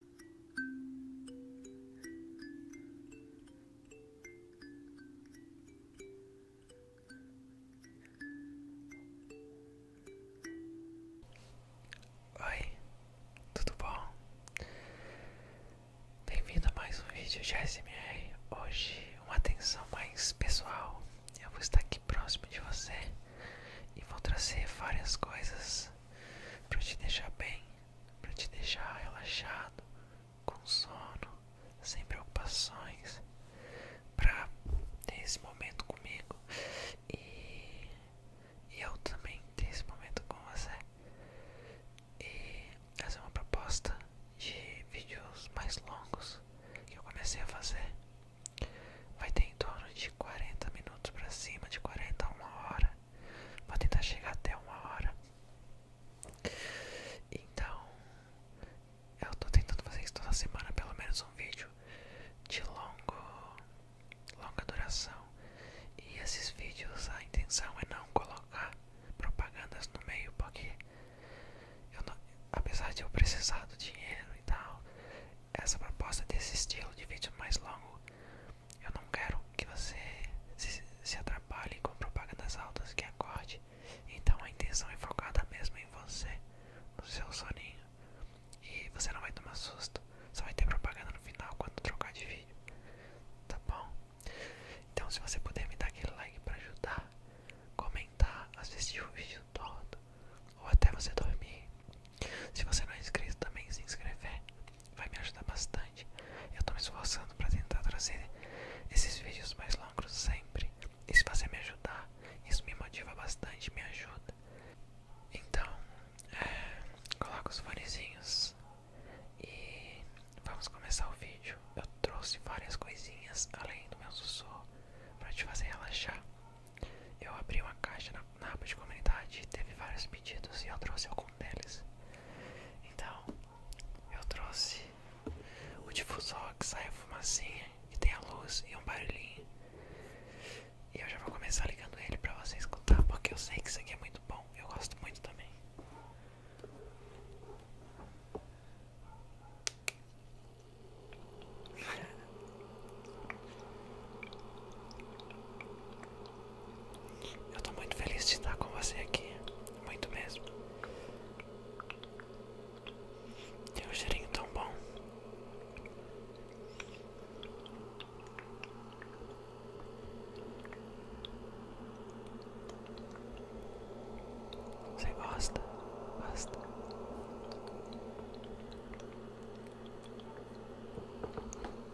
Oi, tudo bom? Bem-vindo a mais um vídeo de ASMR. Hoje, uma atenção mais pessoal. Eu vou estar aqui próximo de você e vou trazer várias coisas para te deixar bem, para te deixar relaxado, com sono, sem preocupações, para ter esse momento comigo e, eu também ter esse momento com você e fazer é uma proposta de vídeos mais longos que eu comecei a fazer. Vai ter em torno de 40 minutos para cima, de 40 a uma hora. Vou tentar chegar até uma hora. Então, eu tô tentando fazer isso toda semana, pelo menos um vídeo de longo, longa duração. E esses vídeos, a intenção é não colocar propagandas no meio, porque apesar de eu precisar do dinheiro e tal, essa proposta desse estilo de vídeo mais longo eu não quero que você se, atrapalhe com propagandas altas que acorde. Então a intenção é focada mesmo em você, no seu soninho. E você não vai tomar susto. Só vai ter propaganda no final quando trocar de vídeo. Tá bom? Então se você puder me dar aquele like pra ajudar, comentar, assistir o vídeo todo, ou até você dormir, se você não é inscrito também se inscrever vai me ajudar bastante. Eu tô me esforçando para tentar trazer esses vídeos mais longos sempre. E se você me ajudar, isso me motiva bastante, me ajuda. Então, é, coloca os fonezinhos e vamos começar o vídeo. Eu trouxe várias coisinhas além do meu sussurro para te fazer relaxar. Eu abri uma caixa na na aba de comunidade teve vários pedidos e eu trouxe algum deles. Então, eu trouxe o difusor que sai a fumacinha, que tem a luz e um barulhinho. E eu já vou começar ligando ele pra você escutar, porque eu sei que isso aqui é muito bom, eu gosto muito também. Eu tô muito feliz de estar com você aqui, muito mesmo. Tem um cheirinho tão bom. Você gosta? Gosta?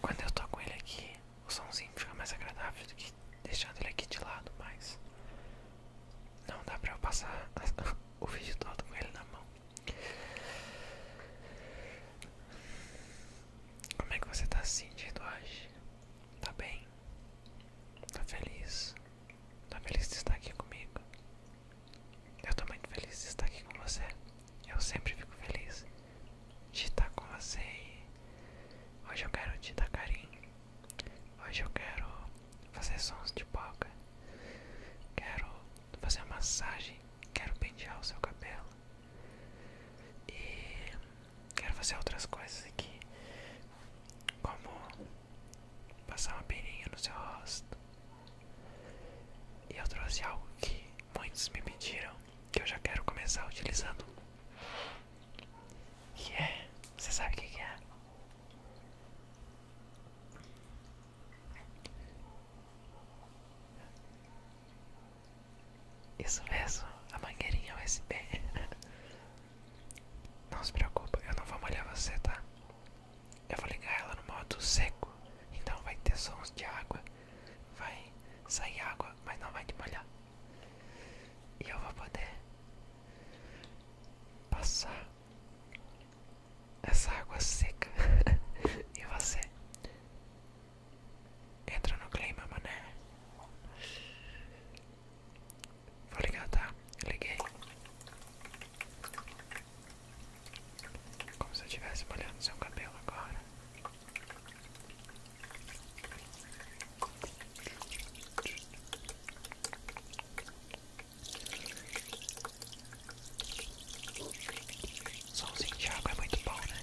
Quando eu tô com ele aqui, o somzinho fica mais agradável do que deixando ele aqui de lado, mas não dá pra eu passar o vídeo todo com ele na mão. Como é que você tá assim, sentindo hoje? Tá bem? Tá feliz? Tá feliz de estar aqui comigo? Eu tô muito feliz de estar aqui com você. Eu sempre fico feliz de estar com você e hoje eu quero te dar carinho. Hoje eu quero fazer sons de boca. Quero fazer uma massagem. Quero pentear o seu cabelo. E quero fazer outras coisas aqui. Como passar uma peninha no seu rosto. E eu trouxe algo que muitos me pediram que eu já quero começar utilizando. Que é? Você sabe o que é? Isso mesmo, a mangueirinha USB. Não se preocupa, eu não vou molhar você, tá? Eu vou ligar ela no modo seco, então vai ter sons de água vai sair água, mas não vai te molhar. E eu vou poder passar essa água seca e você entra no clima, mané. Vou ligar, tá? Liguei. Como se eu estivesse molhando seu cabelo agora. Somzinho de água é muito bom, né?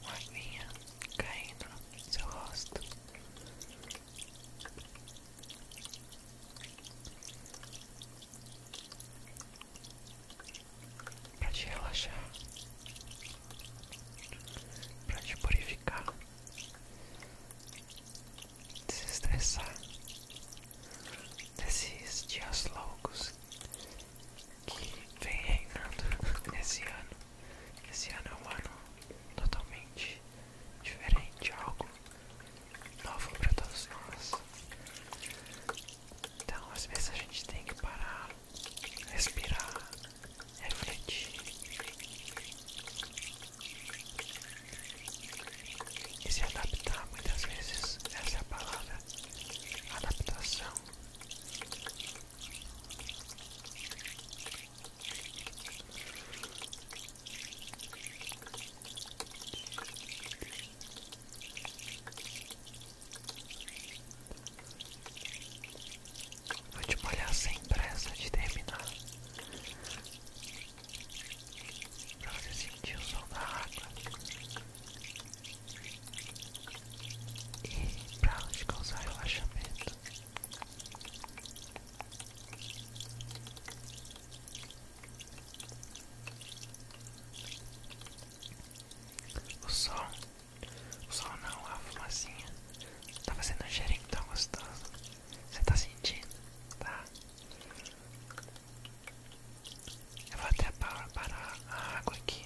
Uma aguinha caindo no seu rosto. Pra te relaxar, pra te purificar, desestressar, desses dias loucos que vem reinando nesse ano. Esse ano é um ano totalmente diferente, algo novo para todos nós. Então, às vezes a gente tem que parar, respirar, refletir e se adaptar muitas vezes, essa é a palavra, adaptação. Vou te molhar sem pressa de terminar. Pra você sentir o sol da água e pra te causar relaxamento. O sol, o sol não, a fumacinha tá fazendo um cheirinho tão tá gostoso. Você tá sentindo, tá? Eu vou até parar a água aqui.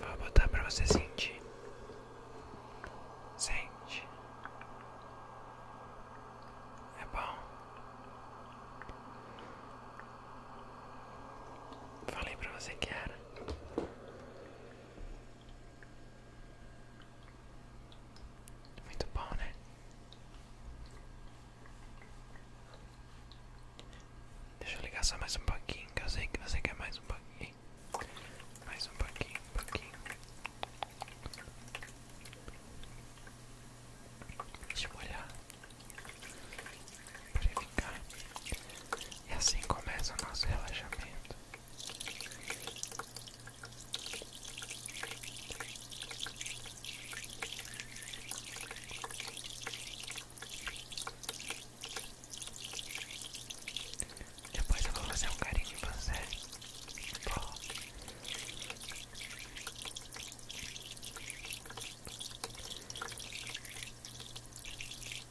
Vou botar pra você sentir. Sente. É bom. Falei pra você que era. Muito bom, né? Deixa eu ligar só mais um pouquinho, que eu que você quer mais um pouquinho. Mais um pouquinho, um pouquinho. Deixa eu olhar. Pra ficar. E assim começa o nosso relaxamento. Depois eu vou fazer um carinho em você.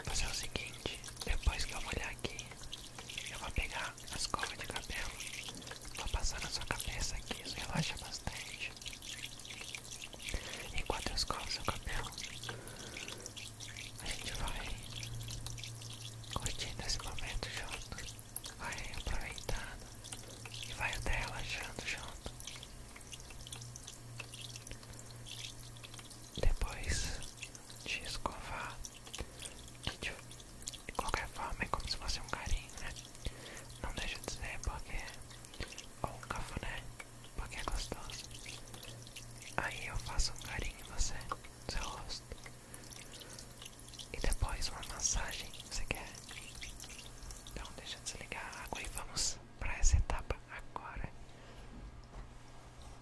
Mas é o seguinte, depois que eu molhar aqui, eu vou pegar as escova de cabelo, vou passar na sua cabeça aqui, isso relaxa bastante. Enquanto eu escovo seu cabelo, a gente vai curtindo esse momento junto, vai aproveitando e vai até relaxando junto. Depois de escovar de, qualquer forma é como se fosse um carinho, né? Não deixa de dizer porque ou um cafuné, porque é gostoso. Aí eu faço um carinho em você, no seu rosto. E depois uma massagem, você quer? Então deixa eu desligar a água e vamos para essa etapa agora.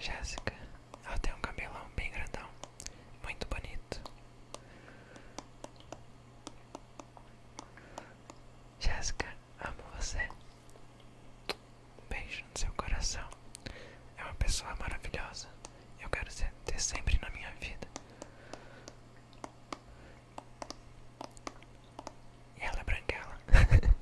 Jéssica, ela tem um cabelão bem grandão, muito bonito. Jéssica, amo você. Um beijo no seu coração. É uma pessoa maravilhosa. Eu quero ter sempre na minha vida. E ela é branquela.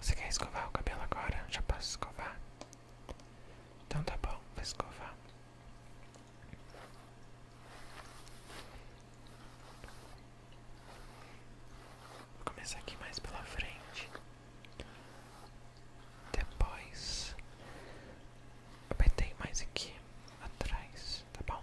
Você quer escovar o cabelo agora? Já posso escovar? Então tá bom, vou escovar. Vou começar aqui mais pela frente. Depois apertei mais aqui atrás, tá bom?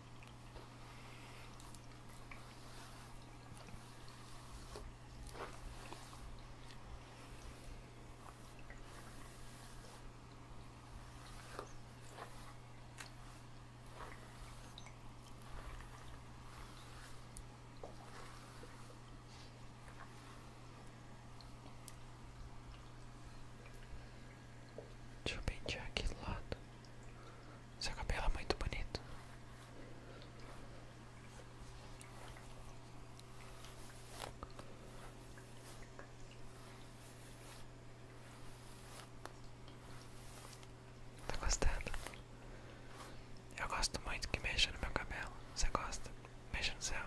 Deixa eu pentear aqui do lado. Seu cabelo é muito bonito. Tá gostando? Eu gosto muito que mexa no meu cabelo. Você gosta? Mexa no céu.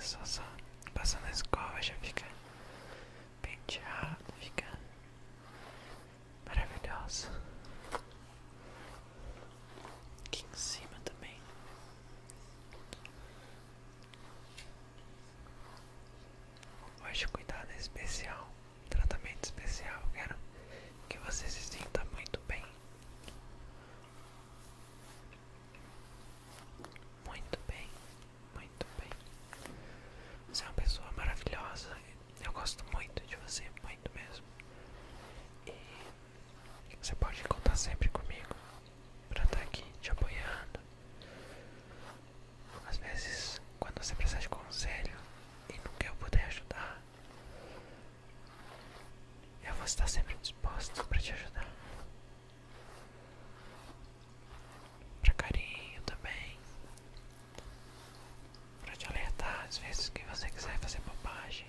Isso, só passando a escova já fica penteado, fica maravilhoso. Aqui em cima também. Hoje o cuidado é especial, tratamento especial. Quero que você se sinta muito bem. Muito bem, muito bem. Você é uma pessoa maravilhosa. Eu gosto muito de você, muito mesmo. Você pode contar sempre comigo para estar tá aqui te apoiando. Às vezes, quando você precisar de conselho e nunca eu puder ajudar, eu vou estar sempre disposto para te ajudar. Para carinho também. Para te alertar às vezes que você quiser fazer bobagem.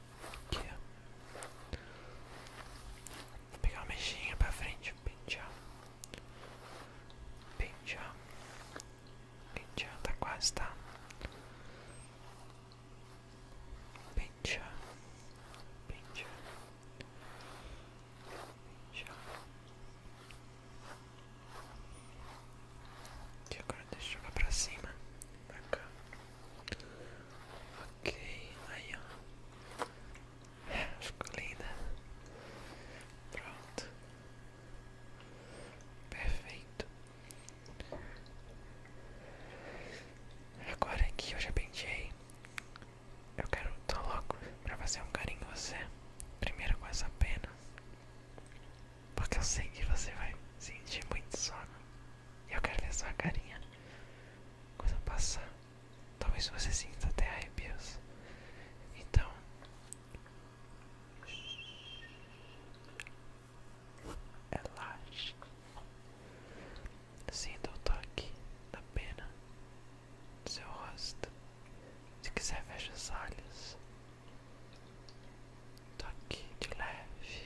Aqui, ó. Vou pegar uma mexinha pra frente, pincha pincha pincha tá quase, tá? pincha pincha Pentear. E agora deixa eu jogar pra cima. Pra cá. Ok, aí ó. É, ficou linda. Pronto. Perfeito. Agora que eu já penteei, eu quero, tô louco pra fazer um carinho em você. Primeiro com essa pena. Porque eu sei que você vai sentir muito sono. Eu quero ver sua carinha quando eu passar. Talvez você sinta até arrepios. Então. Relaxe. Sinta o toque da pena do seu rosto. Se quiser, feche os olhos. Toque de leve.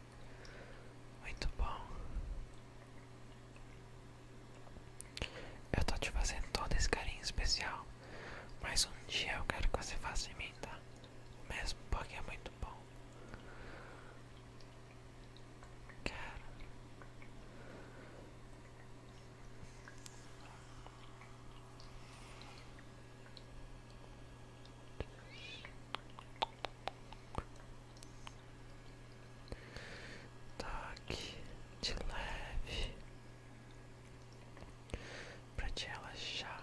Muito bom. Eu tô te fazendo todo esse carinho especial. Mas um dia eu quero que você faça em mim, tá? Mesmo porque é muito bom. Quero. Toque tá de leve para te relaxar.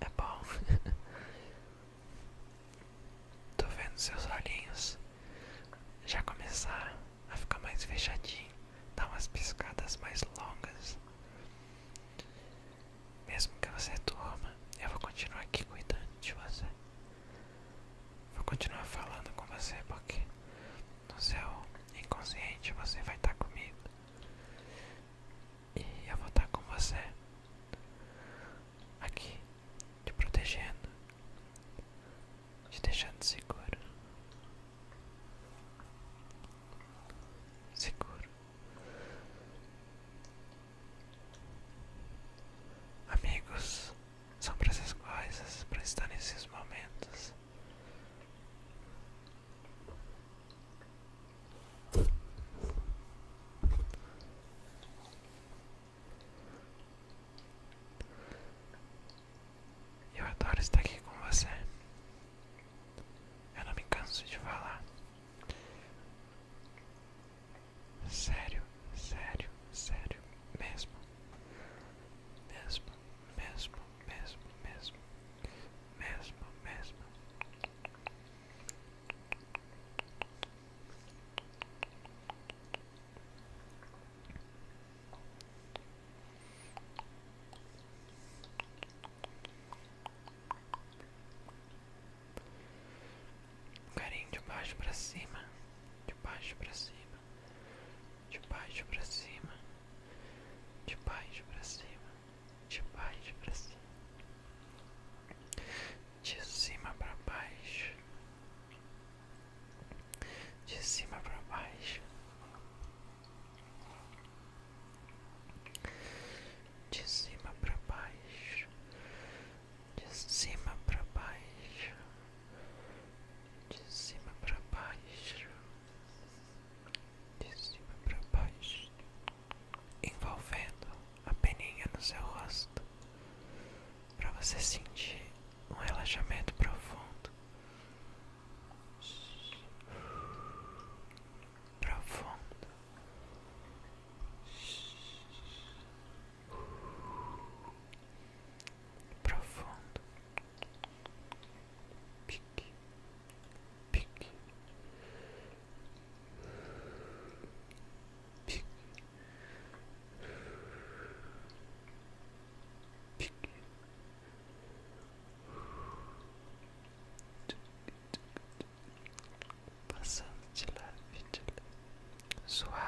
É bom. Tô vendo seus olhinhos já começar a ficar mais fechadinho, dar umas piscadas mais longas. Mesmo que você durma, eu vou continuar aqui cuidando de você. Vou continuar falando com você porque no seu inconsciente você vai estar tá comigo e eu vou estar tá com você aqui te protegendo te deixando seguro seguro amigos são para coisas para estar nesses momentos eu adoro estar aqui com você. Eu não me canso de falar. Sério, sério, sério, mesmo, mesmo mesmo, mesmo, mesmo, mesmo, mesmo. Um carinho de baixo para cima, de baixo para cima de baixo para cima, de baixo para cima, de baixo para cima, de cima para baixo, de cima para baixo, de cima para baixo, de cima para baixo de cima para baixo, de cima para baixo, envolvendo a peninha no seu rosto, para você sentir um relaxamento profundo, profundo. Profundo, pique, pique, pique, pique. Passando de leve, de leve, suave,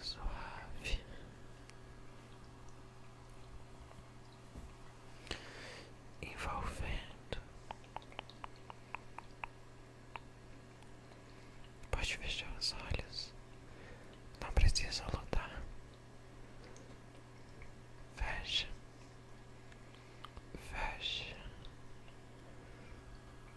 suave. Envolvendo, pode fechar os olhos, não precisa lutar. Fecha, fecha,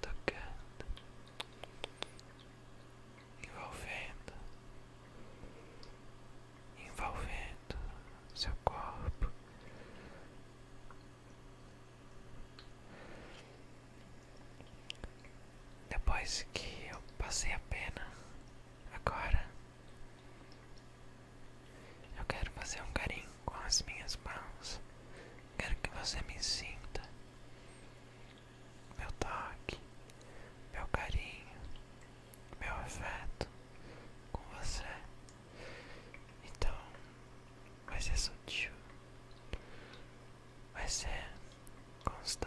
tocando, envolvendo, envolvendo seu corpo. Depois que eu passei a pena, agora eu quero fazer um carinho com as minhas mãos. Quero que você me sinta. Meu toque, meu carinho, meu afeto com você. Então, vai ser sutil. Vai ser com os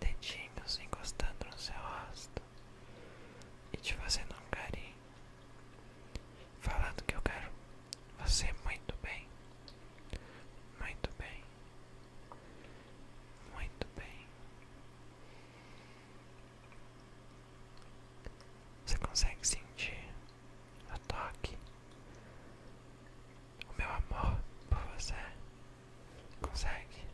dedinhos encostando no seu rosto e te fazendo um carinho Falando que eu quero você muito bem, muito bem, muito bem. Você consegue sentir o toque, o meu amor por você? Consegue?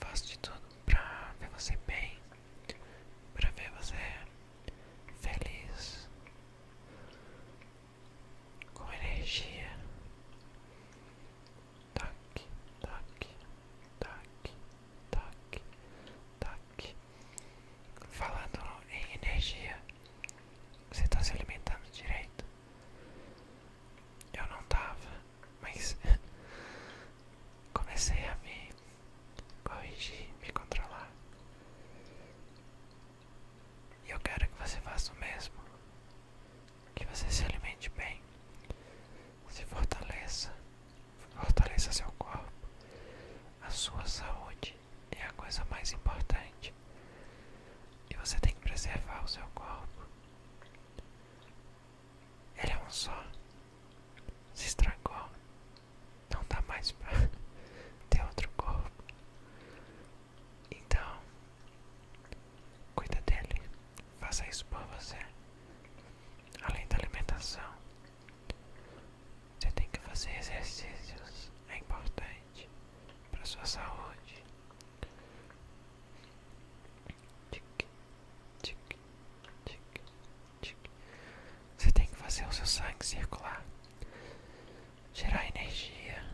Faço de tudo pra ver você bem, pra ver você feliz, com energia. Tac, tac, tac, tac, tac. Falando em energia, você está se alimentando direito? Eu não estava, mas comecei a me corrigir, me controlar. E eu quero que você faça o mesmo. Que você se alimente bem. Se fortaleça. Fortaleça seu corpo. A sua saúde é a coisa mais importante. E você tem que preservar o seu corpo. Ele é um só. Se estragou. Não dá mais para ter outro corpo. Então, cuida dele. Faça isso por você. Além da alimentação, você tem que fazer exercícios. É importante para sua saúde. Tic, tic, tic, tic. Você tem que fazer o seu sangue circular, gerar energia,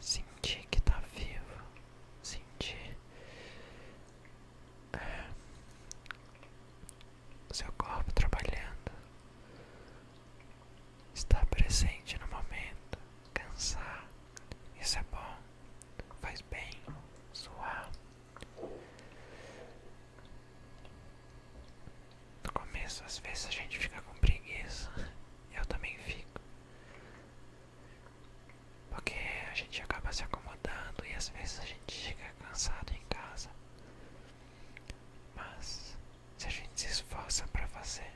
sentir que está vivo, sentir é, o seu corpo trabalhando. Estar presente no momento, cansar, isso é bom, faz bem, suar. No começo, às vezes a gente fica com preguiça, eu também fico, porque a gente acaba se acomodando e às vezes a gente chega cansado em casa. Mas se a gente se esforça para fazer,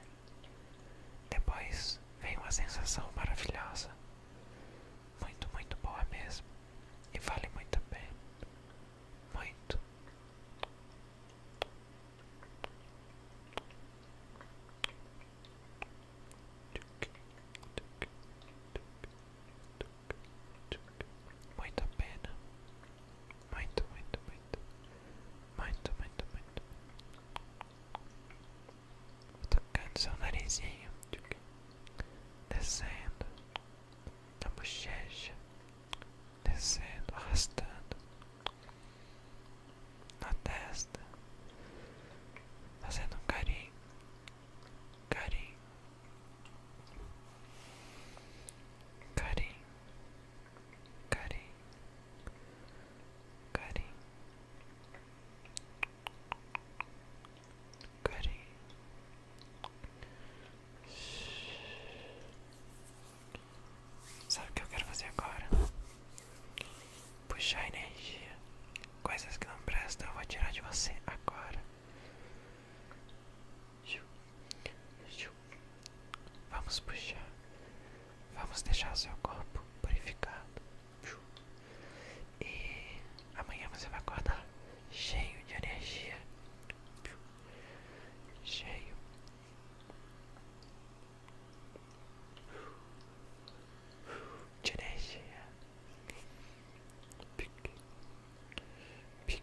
depois vem uma sensação maravilhosa, muito, muito boa mesmo, e vale muito a pena, muito. Muito muito pena, muito, muito, muito, muito, muito, muito. tocando seu narizinho, descendo, na bochecha, descendo, arrastando, na testa, fazendo um carinho, carinho. Carinho, Karen, Karen, Karen. Sabe o que eu quero fazer agora? Puxar energia. Coisas que não prestam eu vou tirar de você agora. Ju, ju, Vamos puxar. Vamos deixar seu corpo purificado. E amanhã você vai acordar cheio de energia. Cheio. De energia. Pique. Pique.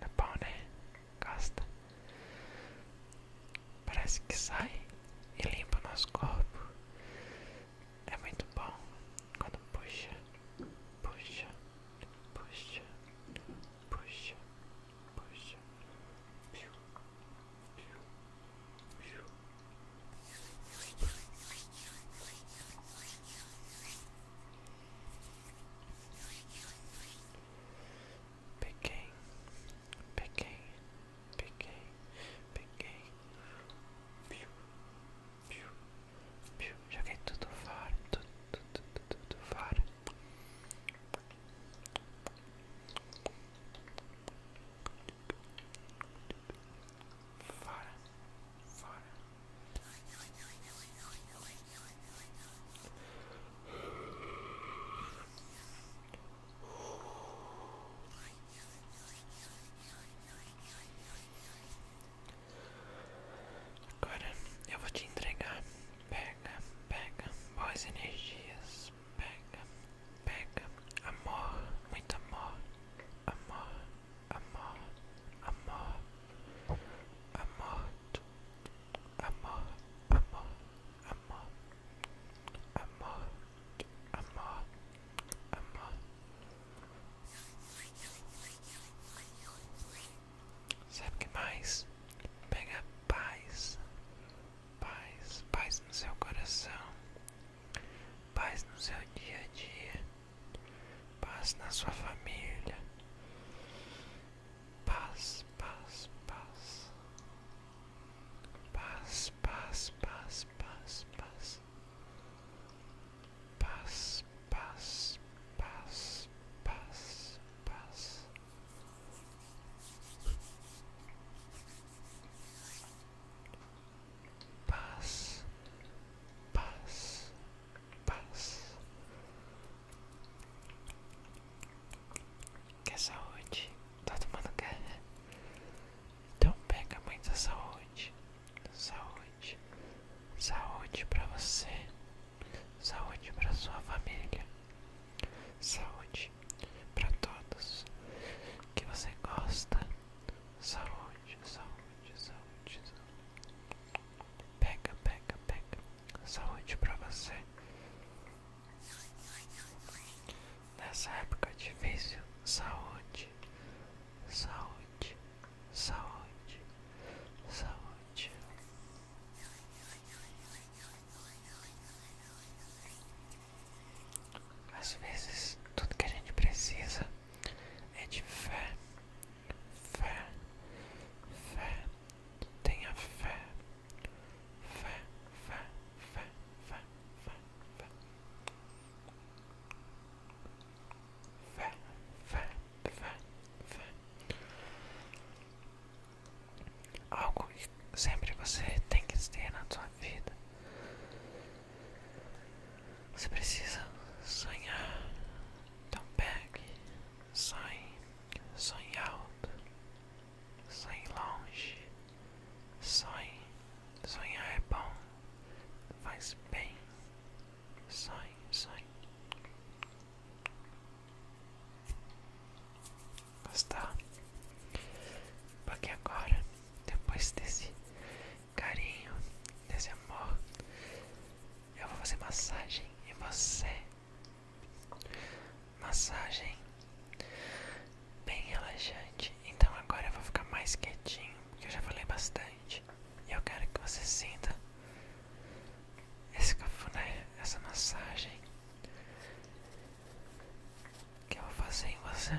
É bom, né? gasta Parece que sai e limpa o nosso corpo. É muito bom quando puxa, puxa, puxa, puxa, puxa. Piu, piu, piu. Peguei, peguei, peguei, peguei. Piu, piu, piu. Joguei tudo fora, tudo, tudo, tudo, tudo fora. Fora, fora. Agora eu vou te entregar. Pega, pega, boas energias. Pega, pega, amor, muito amor, amor amor, amor, amor, amor, amor, amor, amor, amor, amor. Sabe o que mais? Pega paz, paz, paz no seu coração, paz no seu dia a dia paz na sua família, paz, paz, paz, paz, paz, paz, paz, paz, paz, paz, paz, paz, paz. Paz, paz, paz. Quer saúde? Tá Todo mundo quer. Então pega muita saúde. Saúde. Saúde pra você. Saúde pra sua família. Saúde pra todos que você gosta. Saúde saúde, saúde, saúde, Pega, pega, pega. Saúde pra você. Nessa época difícil, saúde, saúde, saúde, saúde. Às vezes, tudo que a gente precisa é de fé, fé, fé, tenha fé, fé, fé, fé, fé, fé, fé, fé, fé, fé, fé. Algo que sempre você tem que ter na sua vida você precisa sonhar. Então pegue, sonhe, sonhe alto, sonhe longe, sonhe. Sonhar é bom, faz bem. Sonhe, sonhe. Gostar? Porque agora, depois desse carinho desse amor. Eu vou fazer massagem em você. Massagem bem relaxante. Então agora eu vou ficar mais quietinho, porque eu já falei bastante. E eu quero que você sinta esse cafuné, essa massagem que eu vou fazer em você.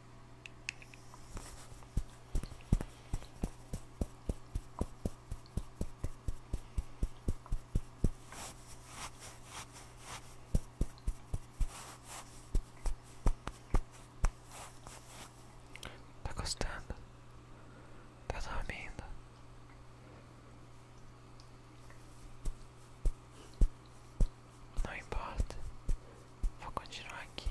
Tá gostando? Tá dormindo? Não importa. Vou continuar aqui.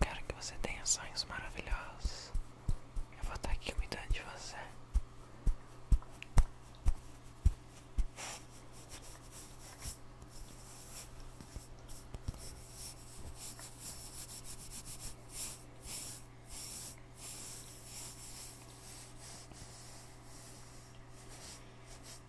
Quero que você tenha sonhos maravilhosos. Eu vou estar aqui cuidando de você.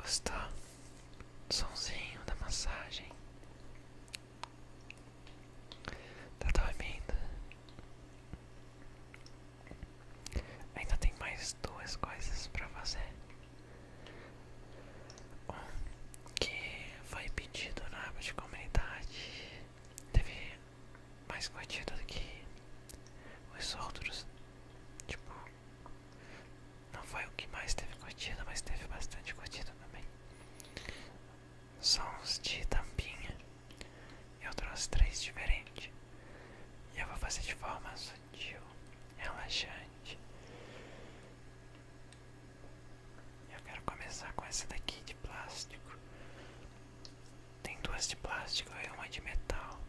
Gostou do sonzinho da massagem? Tá dormindo? Ainda tem mais duas coisas pra fazer. Um que foi pedido na aba de comunidade. Teve mais contida do que os outros. Tipo, não foi o que mais teve curtida, mas teve bastante curtida também. Sons de tampinha. Eu trouxe três diferentes. E eu vou fazer de forma sutil, relaxante. Eu quero começar com essa daqui de plástico. Tem duas de plástico e uma de metal.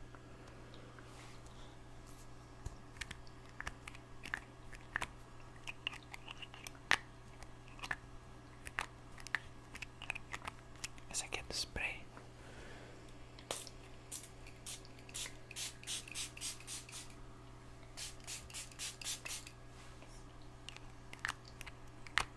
Essa aqui é do spray.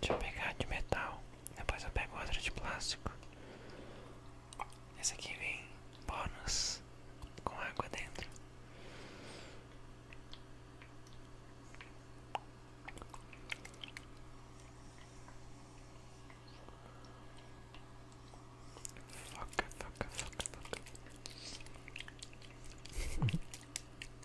Deixa eu pegar de metal. Depois eu pego outra de plástico. Esse aqui vem bônus com água dentro. Foca, foca, foca, foca.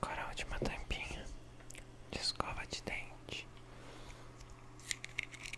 Agora a última tampinha de escova de dente.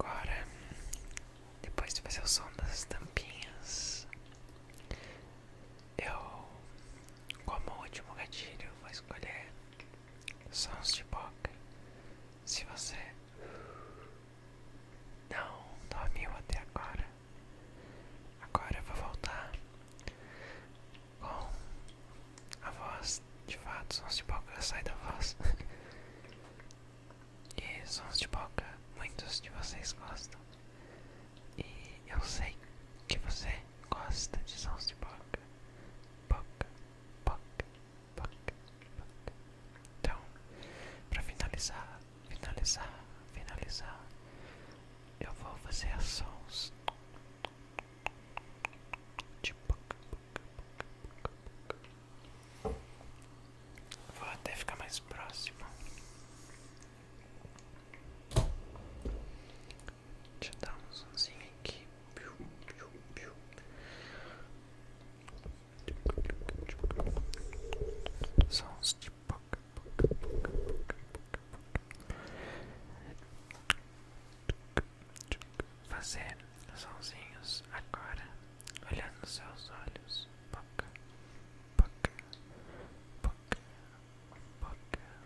Agora, depois de fazer o som das tampinhas, eu, como último gatilho, vou escolher sons de boca. Se você não dormiu até agora, agora eu vou voltar com a voz. De fato, sons de boca sai da voz. e sons de boca muitos de vocês gostam. E eu sei que você gosta de sons de boca. Boca, Poc, poc, poc. Então, para finalizar, finalizar, finalizar, eu vou fazer sons de poc, poc, poc, poc, poc. Vou até ficar mais próximo te dá um zoomzinho aqui. Sons de boca, boca, boca, boca, boca. Fazer sonzinhos agora, olhando nos seus olhos. Boca, boca, boca, boca.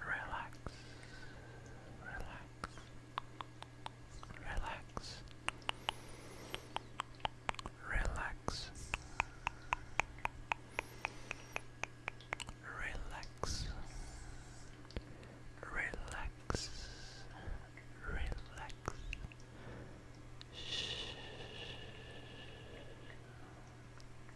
Relax. Relax. Relax. Relax. Relax. Relax. Relax. Shh.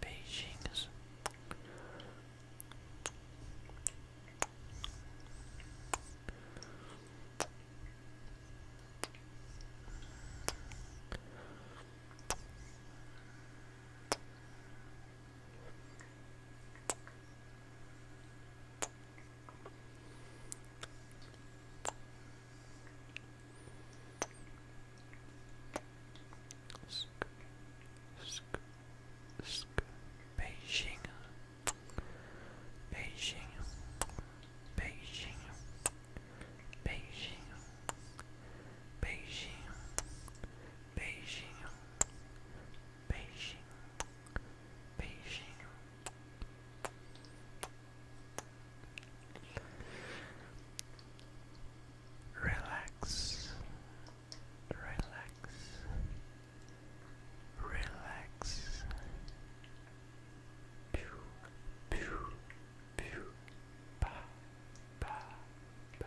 Beijinhos. Beijinhos. Sk sk sk Beijing Beijing Beijing Beijing Beijing Beijing, Beijing, Beijing. Relax, relax, relax. Pew, pew, pew, pa, pa, pa.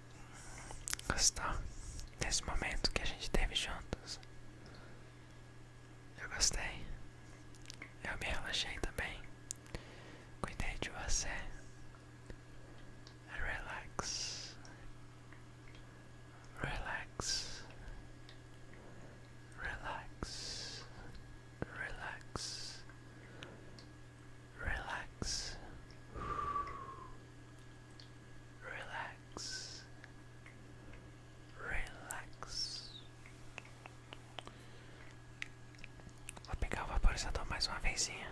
Gostou desse momento que a gente teve juntos? Eu gostei. Eu me relaxei também. Cuidei de você. Relax. Relax. Relax. Relax. Relax relax, relax. Vou pegar o vaporizador mais uma vezinha.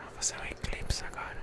Eu vou fazer um eclipse agora.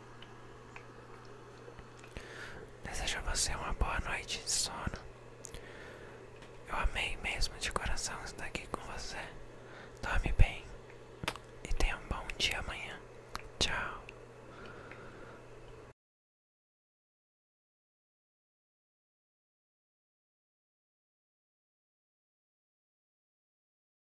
Desejo a você uma boa noite de sono. Eu amei mesmo de coração estar aqui com você. Dorme bem e tenha um bom dia amanhã. Tchau.